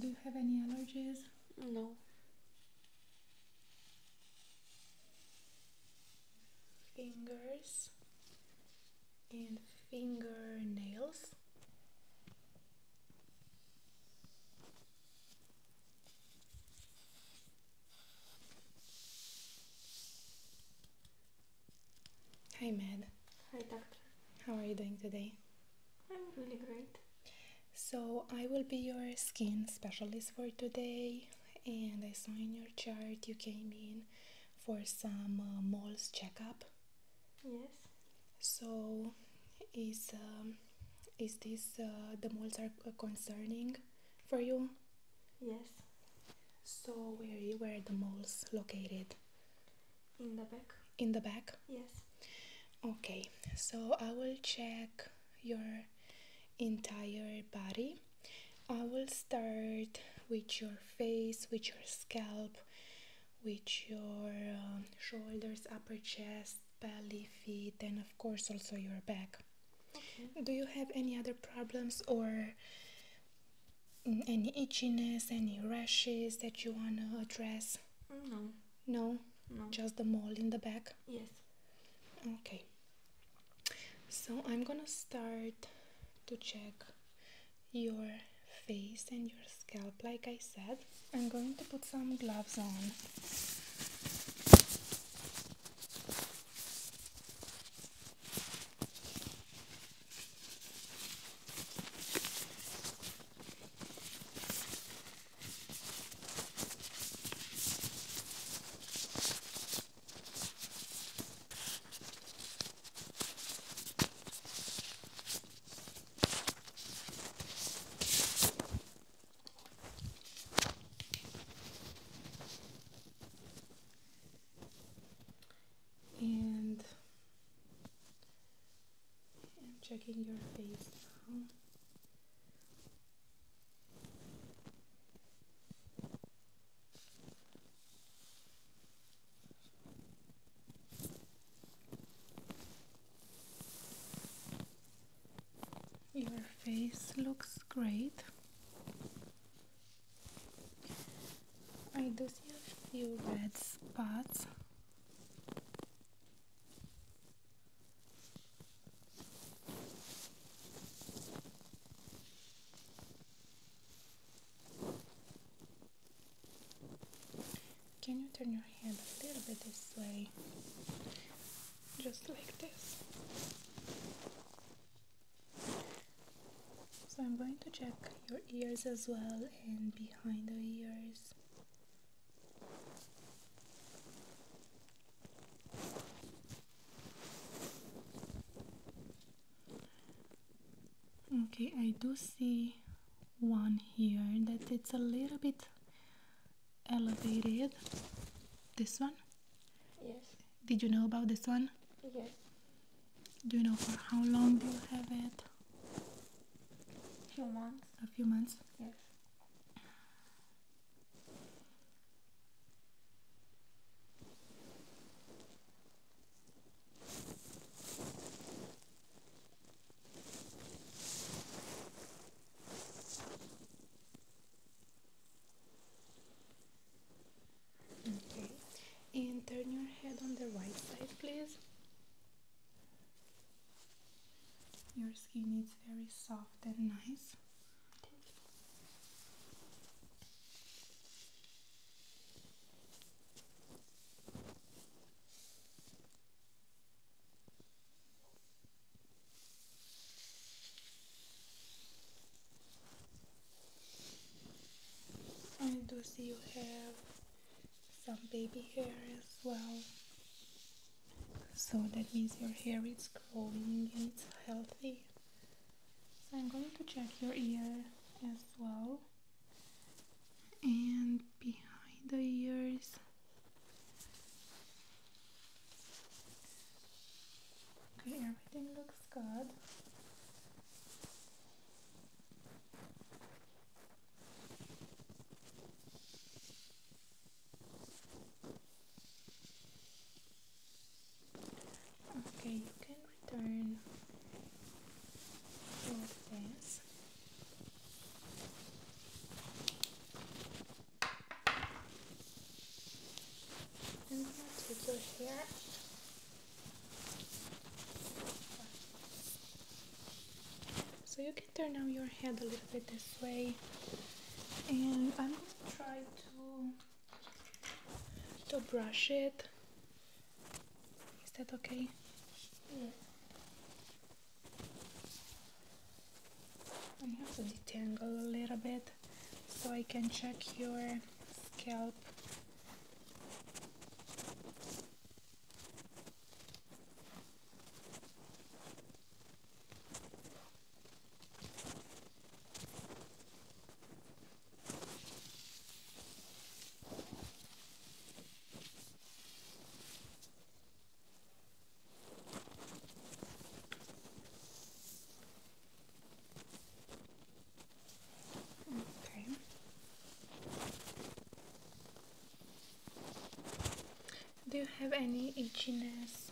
Do you have any allergies? No. Fingers and fingernails. Hi, Mad. Hi, Doctor. How are you doing today? I'm really great. So, I will be your skin specialist for today, and I saw in your chart you came in for some mole uh, moles checkup. Yes. So, is um, is this uh, the moles are uh, concerning for you? Yes. So where where are the moles located? In the back. In the back. Yes. Okay. So I will check your entire body. I will start with your face, with your scalp, with your um, shoulders, upper chest, belly, feet, and of course also your back. Do you have any other problems or mm, any itchiness, any rashes that you want to address? No. No? No. Just the mole in the back? Yes. Okay. So I'm gonna start to check your face and your scalp like I said. I'm going to put some gloves on and I'm checking your face now. Your face looks great. I do see a few red spots. Can you turn your head a little bit this way? Just like this. So I'm going to check your ears as well and behind the ears. Okay, I do see one here that it's a little bit elevated. This one? Yes. Did you know about this one? Yes. Do you know for how long do you have it? A few months. A few months? Yes. Okay, and turn your head on the right side, please. Your skin is very soft and nice. I do see you have some baby hair as well. So that means your hair is growing and it's healthy. I'm going to check your ear as well. And behind the ears Okay, everything looks good. Okay, you can return this. And take your hair. So you can turn now your head a little bit this way. And I'm going to try to to brush it. Is that okay? Yeah. I have to detangle a little bit so I can check your scalp. Do you have any itchiness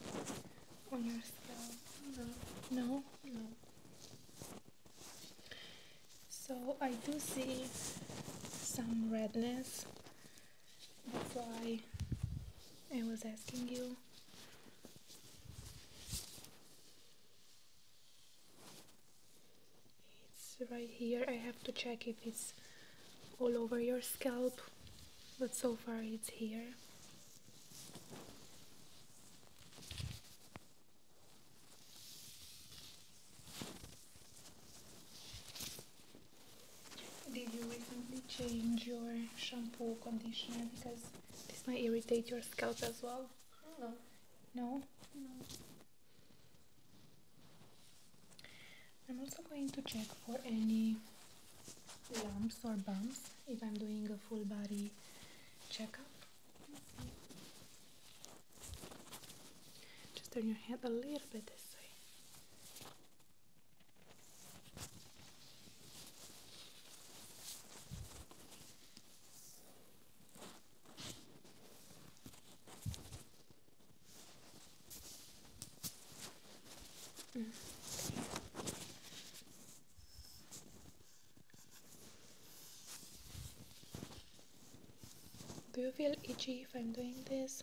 on your scalp? No? No. So I do see some redness that's why I was asking you. It's right here. I have to check if it's all over your scalp, but so far it's here. Did you recently change your shampoo conditioner because this might irritate your scalp as well? No. No? No. I'm also going to check for any lumps or bumps if I'm doing a full body checkup. Just turn your head a little bit this way. Do you feel itchy if I'm doing this?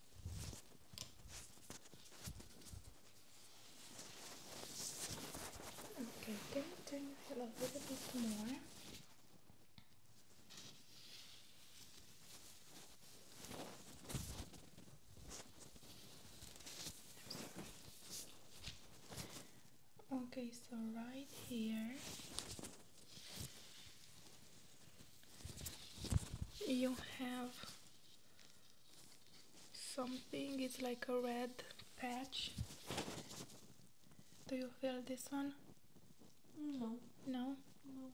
Okay, can you turn your head a little bit more? Okay, so right here you have something it's like a red patch do you feel this one no no no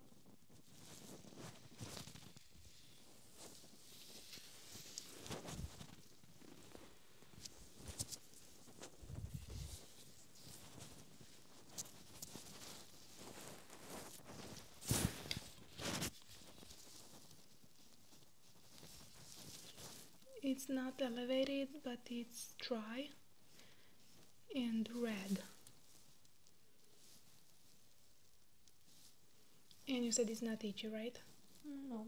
it's not elevated, but it's dry and red. And you said it's not itchy, right? No.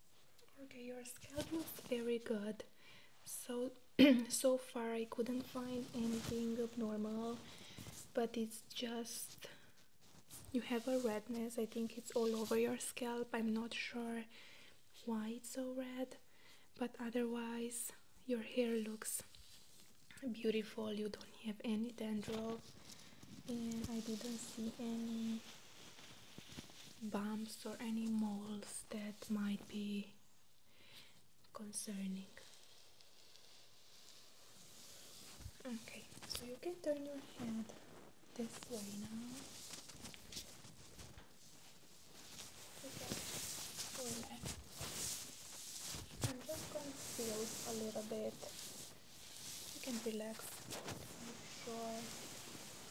Okay, your scalp looks very good. So so far I couldn't find anything abnormal, but it's just you have a redness. I think it's all over your scalp. I'm not sure why it's so red, but otherwise your hair looks beautiful. You don't have any dandruff and I didn't see any bumps or any moles that might be concerning. Okay, so you can turn your head this way now. Okay, relax. I'm just gonna feel a little bit. You can relax your shoulders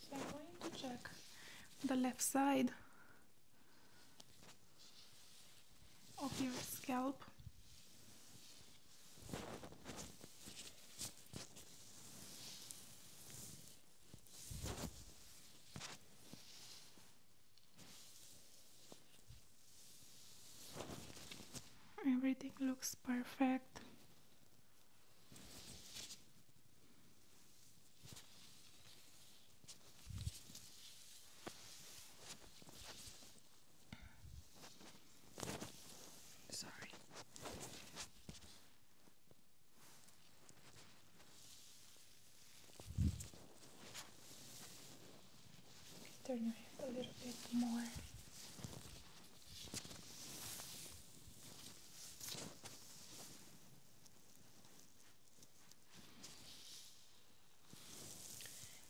So I'm going to check the left side of your scalp. Everything looks perfect. Sorry. Turn your head a little bit more.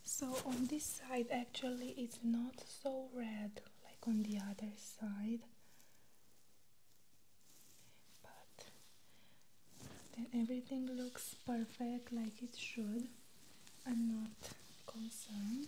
So on this side actually it's not so red like on the other side but everything looks perfect like it should. I'm not concerned.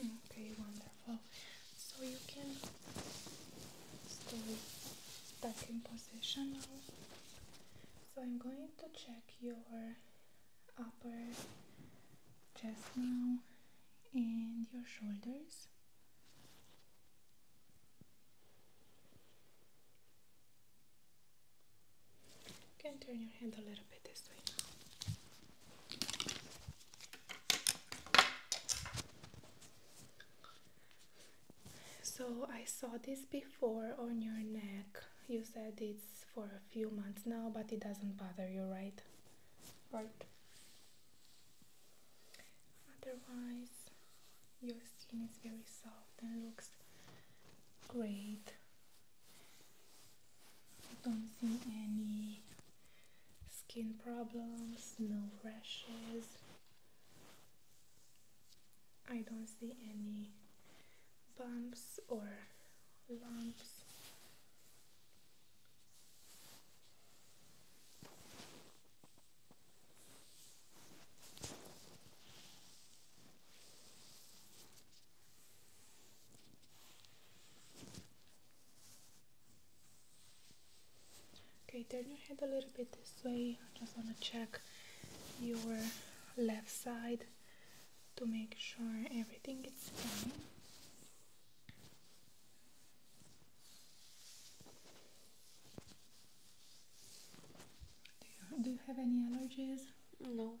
Okay, wonderful. So you can stay back in position now. So I'm going to check your upper chest now and your shoulders. You can turn your hand a little bit this way So I saw this before on your neck. You said it's for a few months now, but it doesn't bother you, right? Right. Otherwise, your skin is very soft and looks Great. I Don't see any skin problems, no rashes. I don't see any bumps or lumps. Okay, turn your head a little bit this way. I just want to check your left side to make sure everything is fine. Do you, have any allergies? No.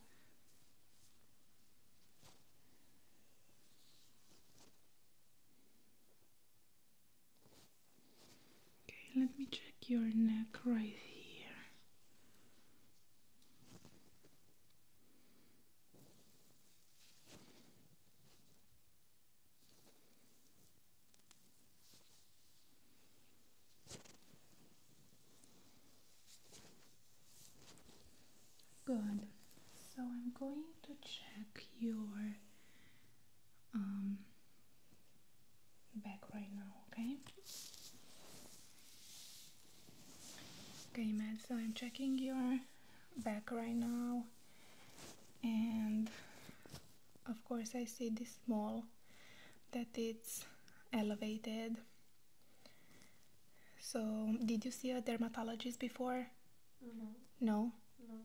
Okay, let me check your neck right here. Good. So I'm going to check your um, back right now, okay? Okay, Matt, so I'm checking your back right now and of course I see this mole that it's elevated. So, did you see a dermatologist before? No. Mm-hmm. No? No.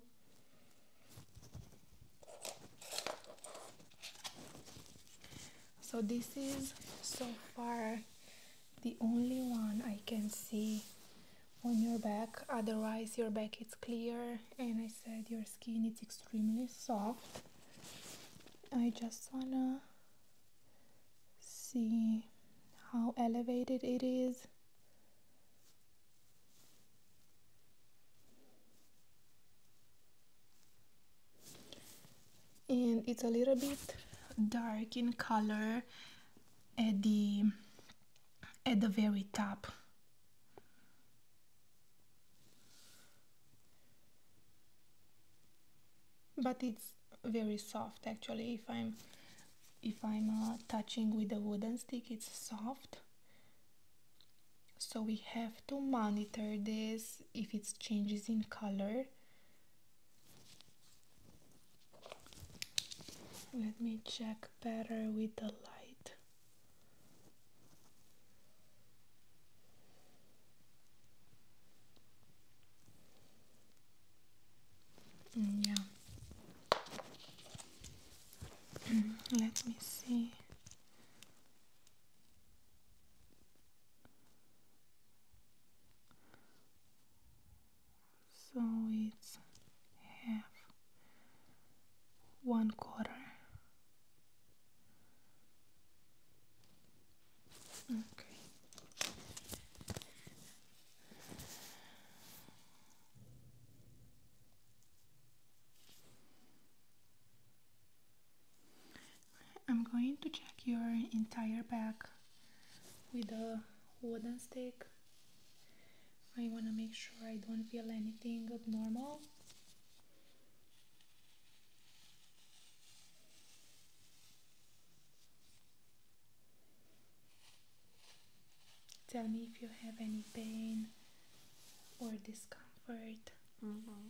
So this is so far the only one I can see on your back. Otherwise your back is clear and I said your skin is extremely soft. I just wanna see how elevated it is. And it's a little bit dark in color at the at the very top but it's very soft actually if I'm if I'm uh, touching with a wooden stick it's soft so we have to monitor this if it changes in color let me check better with the light Mm, yeah. Mm, let me see. So it's half one quarter Okay. I'm going to check your entire back with a wooden stick. I want to make sure I don't feel anything abnormal. Tell me if you have any pain or discomfort. Mm-hmm.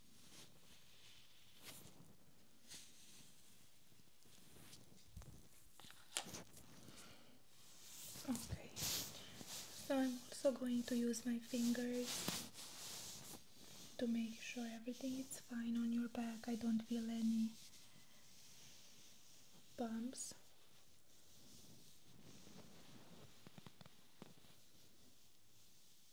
Okay, so I'm also going to use my fingers to make sure everything is fine on your back. I don't feel any bumps.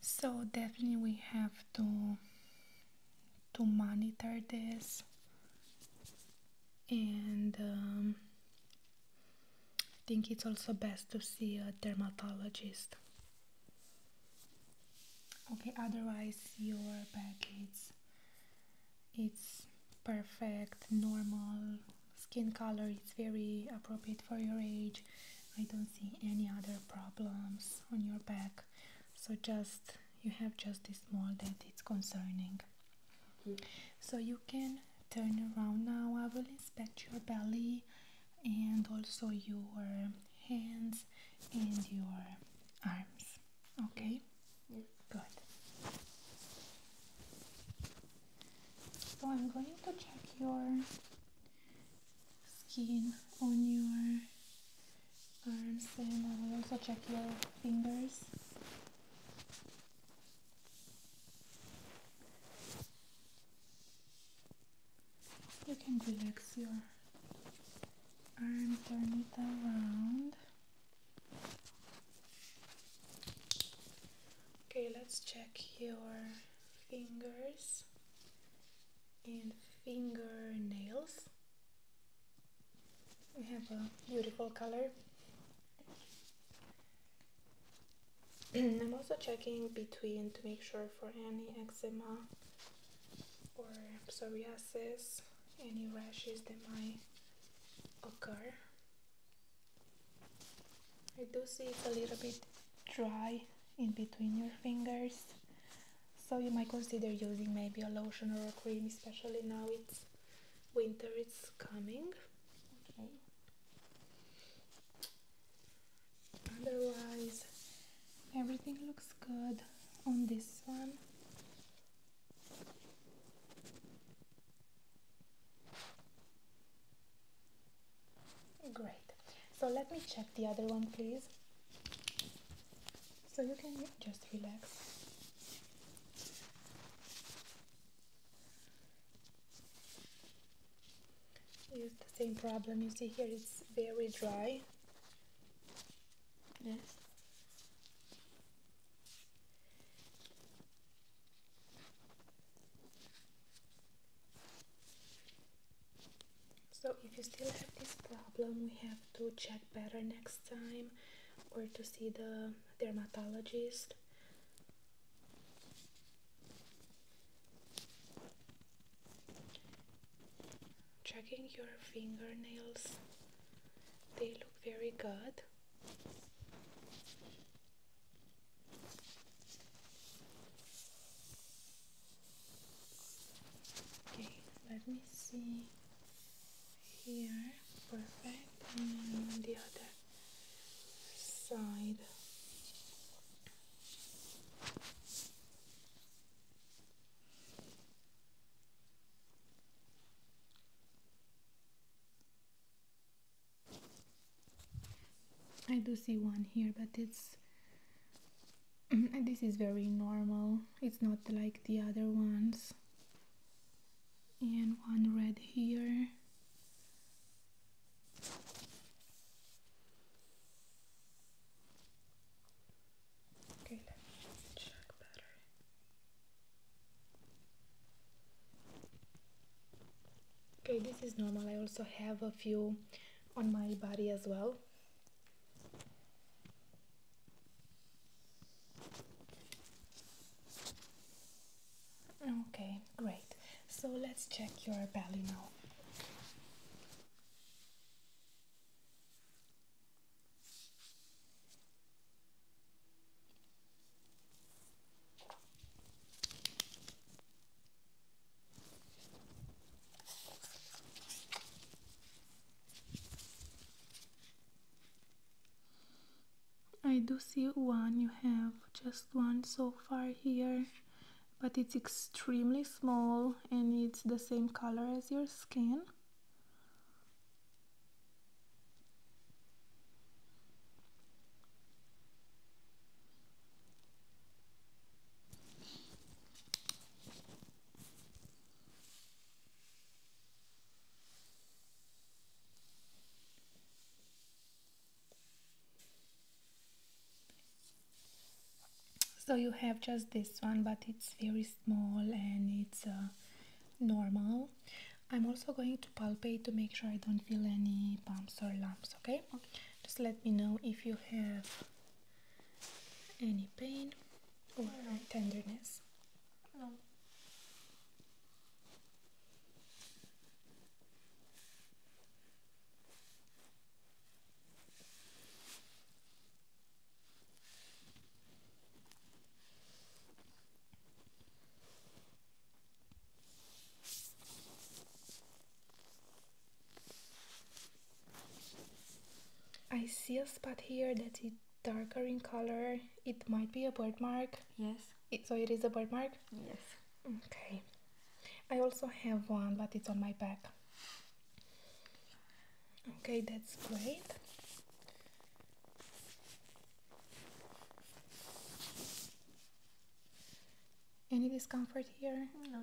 So definitely we have to to monitor this and I um, think it's also best to see a dermatologist. Okay, otherwise your back is it's perfect, normal skin color, it's very appropriate for your age I don't see any other problems on your back so just you have just this small that it's concerning mm-hmm. so you can turn around now I will inspect your belly and also your hands and your arms okay yes. good so I'm going to check your skin on your arms and I will also check your fingers you can relax your arm, turn it around okay let's check your fingers and fingernails. We have a beautiful color. I'm also checking between to make sure for any eczema or psoriasis, any rashes that might occur. I do see it's a little bit dry in between your fingers, so you might consider using maybe a lotion or a cream, especially now it's winter, it's coming. Okay. Otherwise, everything looks good on this one. Great. So let me check the other one, please. So you can just relax. It's the same problem you see here, it's very dry. Yes. So if you still have this problem, we have to check better next time or to see the dermatologist. Checking your fingernails, they look very good. Okay, let me see here. Perfect, and on the other side. I do see one here, but it's mm, this is very normal. It's not like the other ones. And one red here. Okay, this is normal. I also have a few on my body as well okay great so let's check your belly now I do see one you have just one so far here but it's extremely small and it's the same color as your skin so you have just this one, but it's very small and it's uh, normal. I'm also going to palpate to make sure I don't feel any bumps or lumps, okay? Just let me know if you have any pain or tenderness? No. I see a spot here that is darker in color. It might be a birthmark. Yes. so it is a birthmark? Yes. Okay. I also have one, but it's on my back. Okay, that's great. Any discomfort here? No.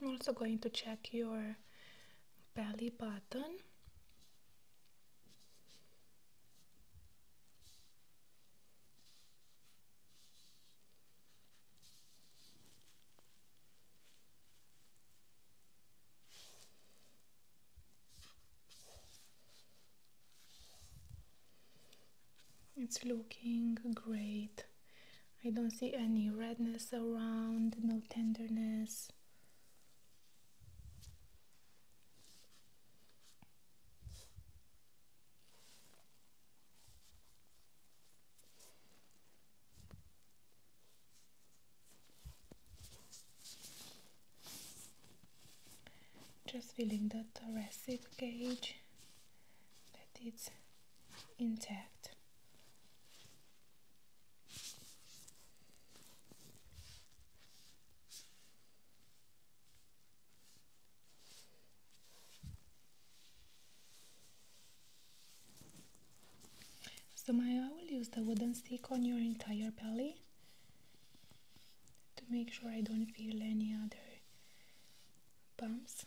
I'm also going to check your belly button it's looking great I don't see any redness around no tenderness just feeling the thoracic cage that it's intact. So Maya, I will use the wooden stick on your entire belly to make sure I don't feel any other bumps.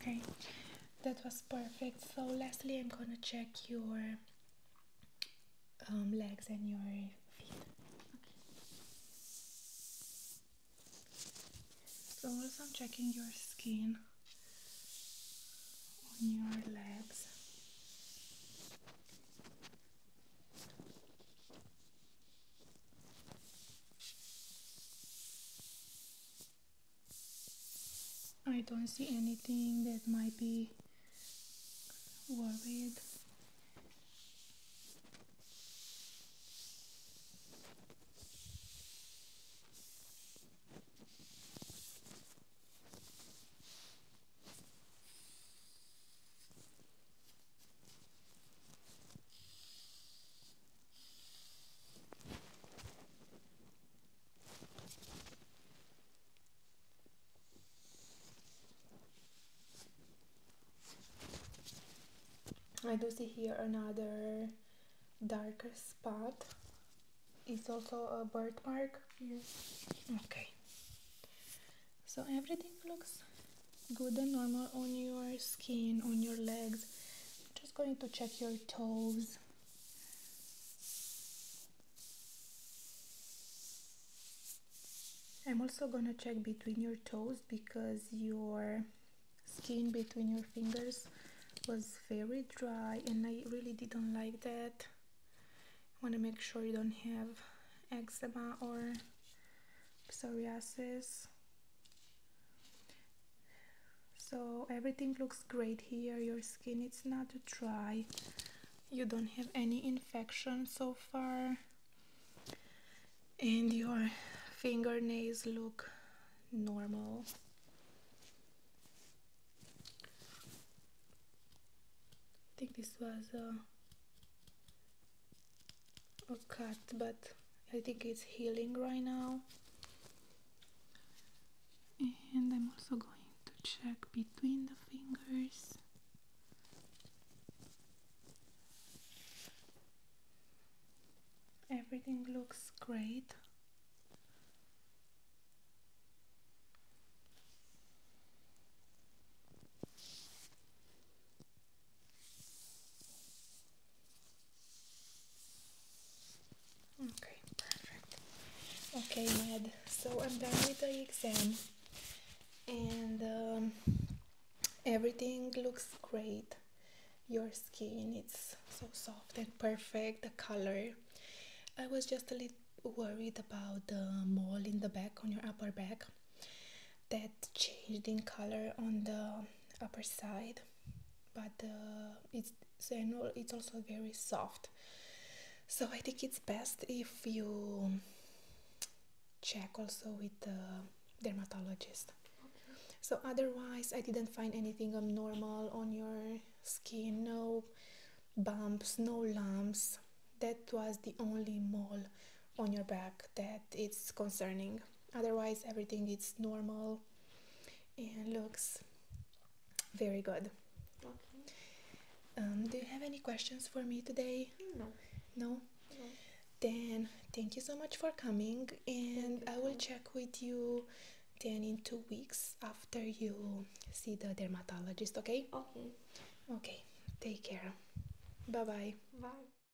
Okay, that was perfect. So, lastly, I'm gonna check your um, legs and your feet. Okay. So, also, I'm checking your skin on your legs. I don't see anything that might be worried. I do see here another darker spot. It's also a birthmark. Yes. Okay. So everything looks good and normal on your skin, on your legs. I'm just going to check your toes. I'm also gonna check between your toes because your skin between your fingers was very dry and I really didn't like that. I wanna make sure you don't have eczema or psoriasis so everything looks great here your skin it's not dry you don't have any infection so far and your fingernails look normal I think this was a uh, or cut, but I think it's healing right now. And I'm also going to check between the fingers. Everything looks great. Okay, perfect. Okay, Med, so I'm done with the exam and um, everything looks great. Your skin, it's so soft and perfect, the color. I was just a little worried about the mole in the back on your upper back that changed in color on the upper side but uh, it's it's also very soft so I think it's best if you check also with the dermatologist so otherwise I didn't find anything abnormal on your skin no bumps no lumps that was the only mole on your back that it's concerning otherwise everything is normal and looks very good um, do you have any questions for me today no no, then thank you so much for coming and i will check with you then in two weeks after you see the dermatologist okay okay okay take care Bye-bye. Bye.